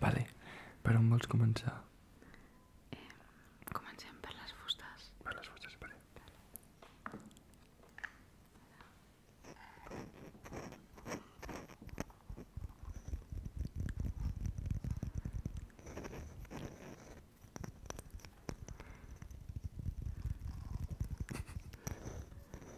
Vale, per on vols començar? Eh, comencem per les fustes. Per les fustes, vale.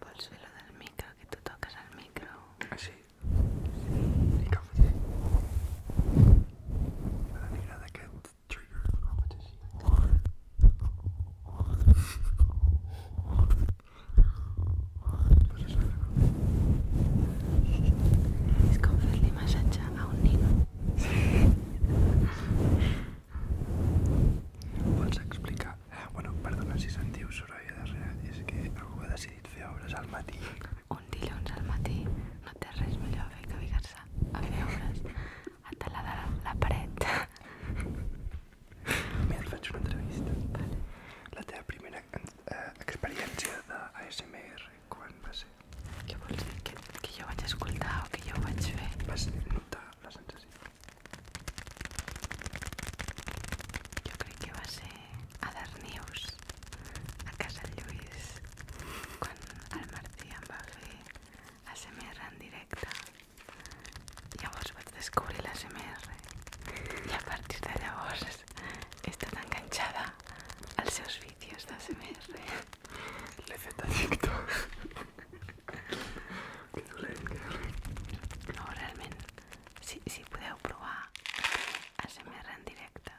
Por el suelo del micro, que tú tocas el micro. Así. Sí. que the trigger of competition. És com fer-li massatge a un nino. Pots explicar? Eh, bueno, perdona si sentiu soroll a darrere, és que algú ha decidit fer obres al matí. Un dilluns al matí no té res millor a fer que vingues comença a veure's a talar la, la paret. Mira, et faig una entrevista. Vale. La teva primera eh, experiència d'ASMR, quan va ser? Què vols dir? Que, que jo vaig escoltar o que jo vaig fer? Vas notar la sensació. Jo crec que va ser a Darnius, a casa Lluís, quan el Martí em va fer ASMR en directe llavors vaig descobrir l'ASMR i a partir de llavors he estat enganxada als seus vídeos d'ASMR l'he fet a TikTok que dolent, que dolent no, realment si, si podeu provar ASMR en directe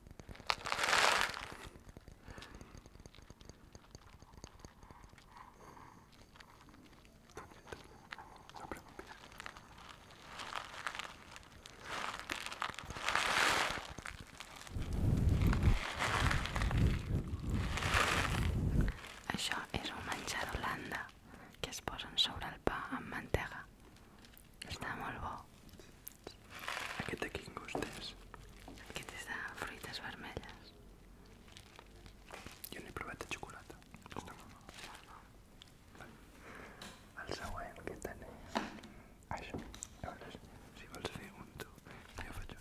Això és un menjar d'Holanda que es posen sobre el pa amb mantega. Està molt bo. Aquest de quin gust és? Aquest és de fruites vermelles. Jo n'he provat de xocolata. Uh, Està molt bo. El següent que tenim... Això. Llavors, si vols fer un tu, jo faig un.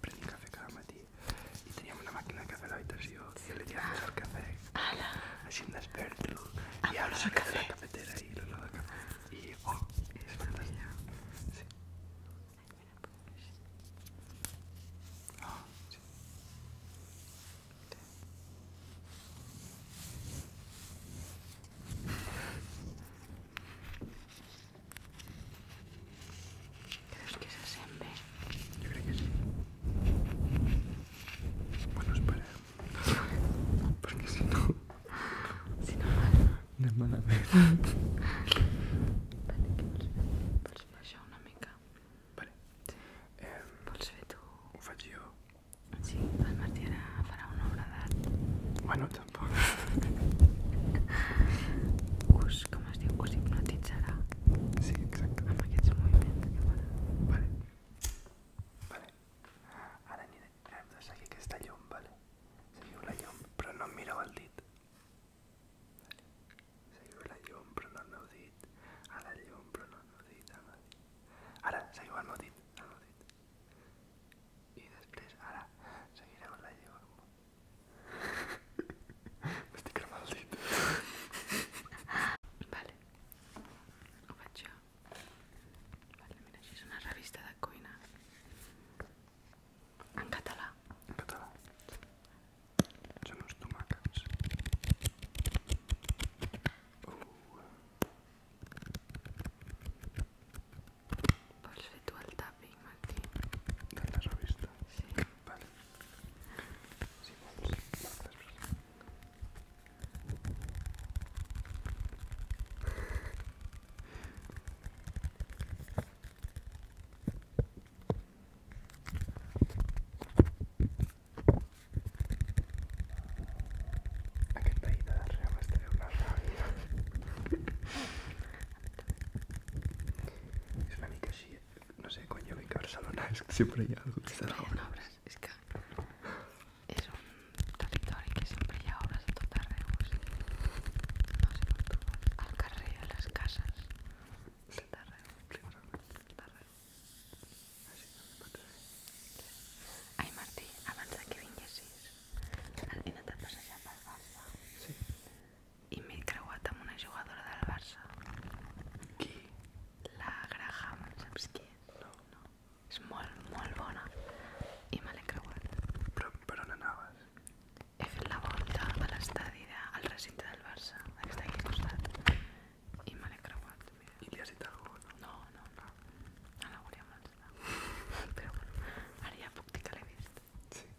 Prendí café cada matie y teníamos una máquina de café la idea si yo le dio el café así un despert y ahora saca de la cafetera y lo lado de café y oh es verdad. Creus que se sent bé? Jo crec que sí. Bueno, espera. Perquè si no... Si no mana... Anem malament. Vale, què vols fer? Vols baixar una mica? Vale. Eh, vols fer tu? Ho faig jo. Sí, el Martí ara farà una obra d'art. Bueno, tampoc. Us us, com es diu, us hipnotitzarà sí, exacte. amb aquests moviments que farà. Vale. Vale. Ara aniré. Hem de seguir aquesta llum, vale? Seguiu la llum, però no em mireu el dit. Vale. Seguiu la llum, però no el meu dit. A la llum, però no el meu dit. El meu dit. Ara, seguiu el meu dit. El meu dit. I després, ara, seguireu la llum. M'estic cremant el dit. Vale. Ho faig jo. Vale, mira, així és una revista de cuina. En català. En català. Són uns tomàquets. Uh. Vols fer tu el tàpic? matí. De la revista? Sí. Vale. Si vols, marca després. Aquest veí de darrere m'estreu la ràbia. És una mica així, eh? No sé, coño, venga, Barcelona, es que siempre hay algo que Siempre hay obras, es que es un territori que siempre hi obras a tu arreu. O sigui, no sé com tu, al carrer, a les cases, a tot arreu. Sí, tot arreu. Ay Martí, abans de que vinguessis, he anat a passejar pel Barça. Sí. i m'he creuat amb una jugadora del Barça. Qui? La Graham, saps qui és? No. no. És molt, molt bona i me l'he creuat. Però per on anaves? He fet la volta a l'estadi al recinte del Barça, que està aquí al costat, i me l'he creuat. Mira. I li has dit alguna cosa? No, no, no. no. no la volia molestar. Però bueno, ara ja puc dir que l'he vist. Sí.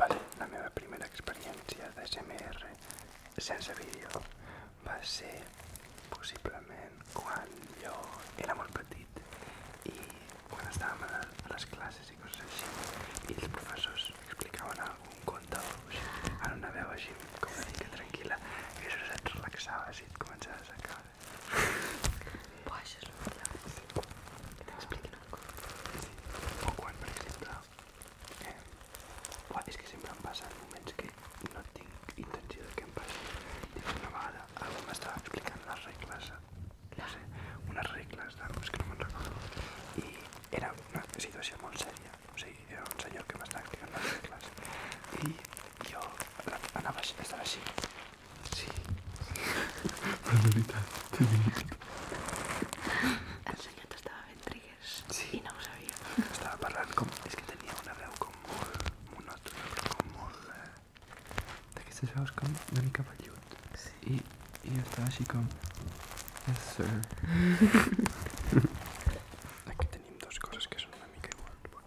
Vale, la meva primera experiència SMR sense vídeo va ser possiblement quan jo era molt petit i quan estàvem a les classes i coses així i els professors explicaven algun conte o així, en una veu així com una mica tranquil·la i això et relaxaves i et començaves a caure. Bo, això és el mateix. Que t'expliquin una cosa. O quan, per exemple... Eh? Bo, és que sempre em passen moments que no tinc intenció de que em passi. Dic, una vegada algú m'estava explicant les regles, no sé, unes regles d'algú, és que no me'n recordo. I era una situació molt sèria. O sigui, era un senyor que m'estava explicant les regles. I jo anava, estava així, Sí. ahorita te El señor estaba fent sí. no sabía. Estaba Estaba hablando como, es que tenía una veu como molt monòtona, como de que se D'aquestes veus com una Sí. Y estaba así como... Yes, sir. Aquí tenim dos cosas que son una mica iguals. Bueno.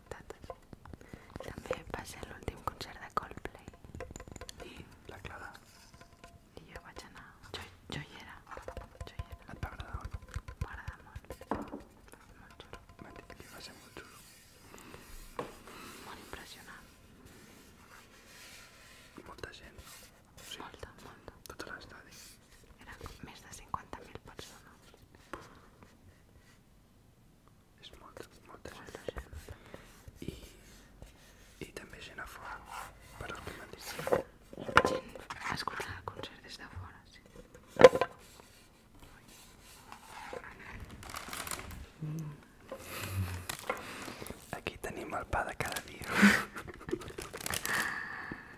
también pasé el último l'últim de Coldplay. y la Clara? y yo vaig anar. Jo, jo hi era. Jo hi era. Et va agradar o no? M'agrada molt. Molt que va ser molt xulo. Molt impressionant. Molta gent. O sigui, molta, molta. Tot l'estadi. Eren més de 50.000 personas És molta, molta gent. I, i també gent a fora, per el que m'han dit. Gent a escoltar el concert des de fora, sí. Aquí tenim el pa de cada dia.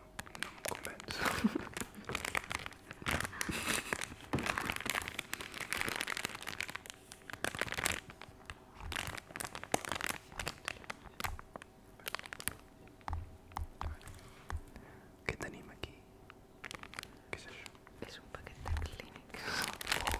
no me convenzo. ¿Qué tenemos aquí? ¿Qué es eso? Es un paquete de Kleenex. Vale.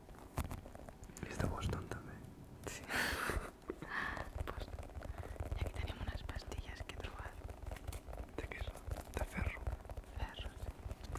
Está Boston también. ¿eh? Sí. pues, y aquí tenemos unas pastillas que probar. ¿De qué son? De ferro. Ferro, sí.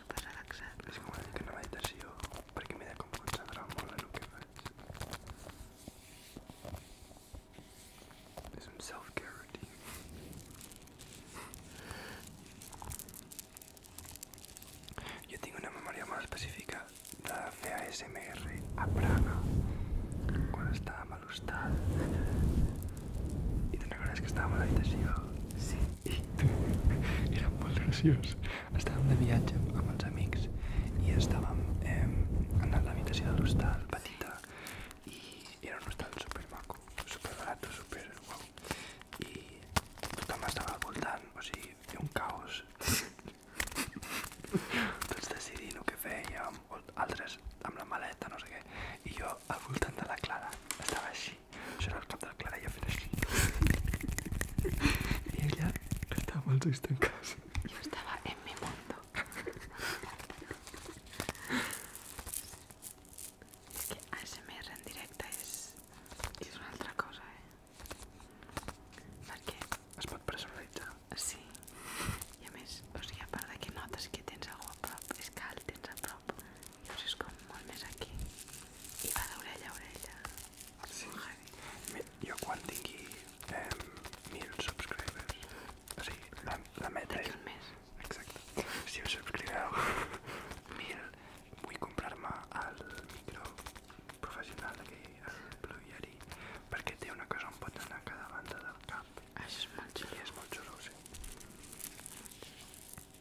Es como el que no me ha detersivo, porque me da como mucha para lo que va Es un self care Yo tengo una memoria más específica, la de a prana cuando estaba malustado. Y te acuerdas que estaba mal detersivo. Sí. i era molt graciós. Estàvem de viatge amb els amics i estàvem eh, en l'habitació de l'hostal petita i era un hostal supermaco, superbarat, super guau. I tothom estava al voltant, o sigui, era un caos. Tots decidint el que fèiem, altres amb la maleta, no sé què. I jo al voltant de la Clara estava així això era el cap de la Clara i ja fent així. I ella estava amb els ulls tancats. Jo estava en mi mundo. És que ASMR en directe és, és una altra cosa, eh? Perquè... Es pot personalitzar. Sí. I a més, o sigui, a part de que notes que tens algú a prop, és que el tens a prop prop llavors és com molt més aquí i va d'orella a orella és sí. molt heavy jo quan tingui eh, 1000 subscribers o sigui, la, la meta és... Mes. exacte, si us subscriveu 1000 vull comprar-me el micro professional d'aquell, el Blue Yeti perquè té una cosa on pot anar a cada banda del cap ah, això és molt xulo, I és molt xulo sí.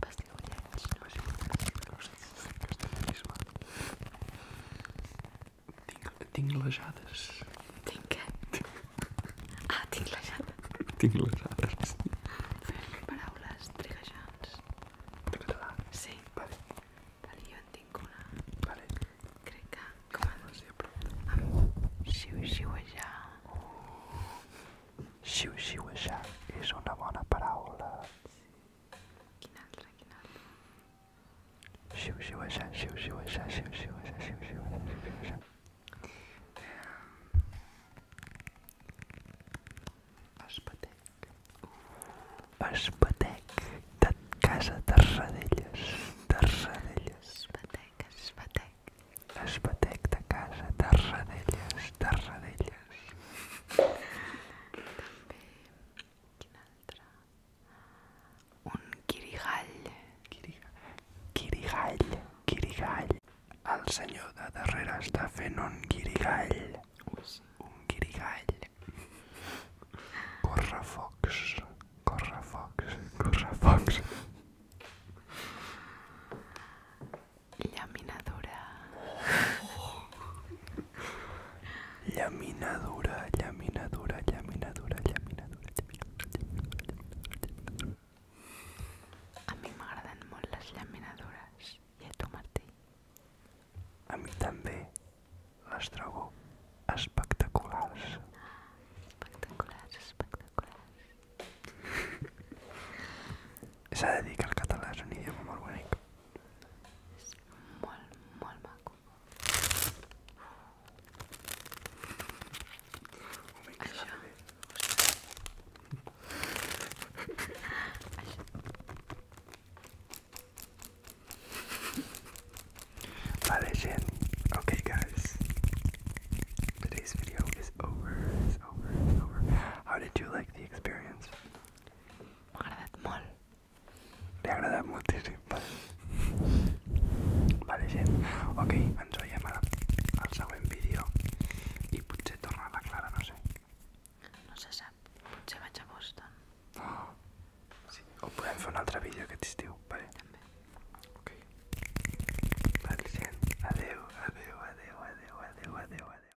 Pasteu lleig, no sé, no sé si és castellanisme. Tinc, tinc lejades. Tinc què? Ah, tinc lejades. Tinc lejades. Fem paraules trigejants. De català? Sí. Vale. Vale, jo en tinc una. Vale. Crec que... Com en... No sé, però... Amb xiu-xiuejar. Oh. Xiu-xiuejar és una bona paraula. Sí. Quin altre, quin altre? Xiu, xiu, aixà, xiu, xiu, aixà, xiu, xiu, aixà, xiu, xiu, aixà, xiu, xiu, aixà. Espatec. Espatec de casa Tarradellas. Tarradellas. Espatec, espatec. Espatec de casa Tarradellas, sí. També... Quin altre? Un quirigall. Quiriga... Quirigall. Quirigall. El senyor de darrere està fent un quirigall. Sí. Un quirigall. Corre focs. Corre focs. Corre focs. Llaminadura. Llaminadura, llaminadura, llaminadura, llaminadura, A mi m'agraden molt les llaminadures. I a tu, Martí? A mi també. Les trobo espectaculars. Espectaculars, espectaculars. S'ha de dir que el català és un idioma molt bonic. Jest Okay, guys. Today's video is over. How did you like the experience? m'ha agradat molt. Li ha agradat moltíssim. Vale. vale, gent. Ok, ens veiem ara al següent vídeo i potser torna la Clara, no sé. No se sap. Potser vaig a Boston. Oh. Sí, o podem fer un altre vídeo aquest estiu, vale? També. Ok. Vale, gent. Adeu, adeu, adeu, adeu, adeu, adeu, adeu.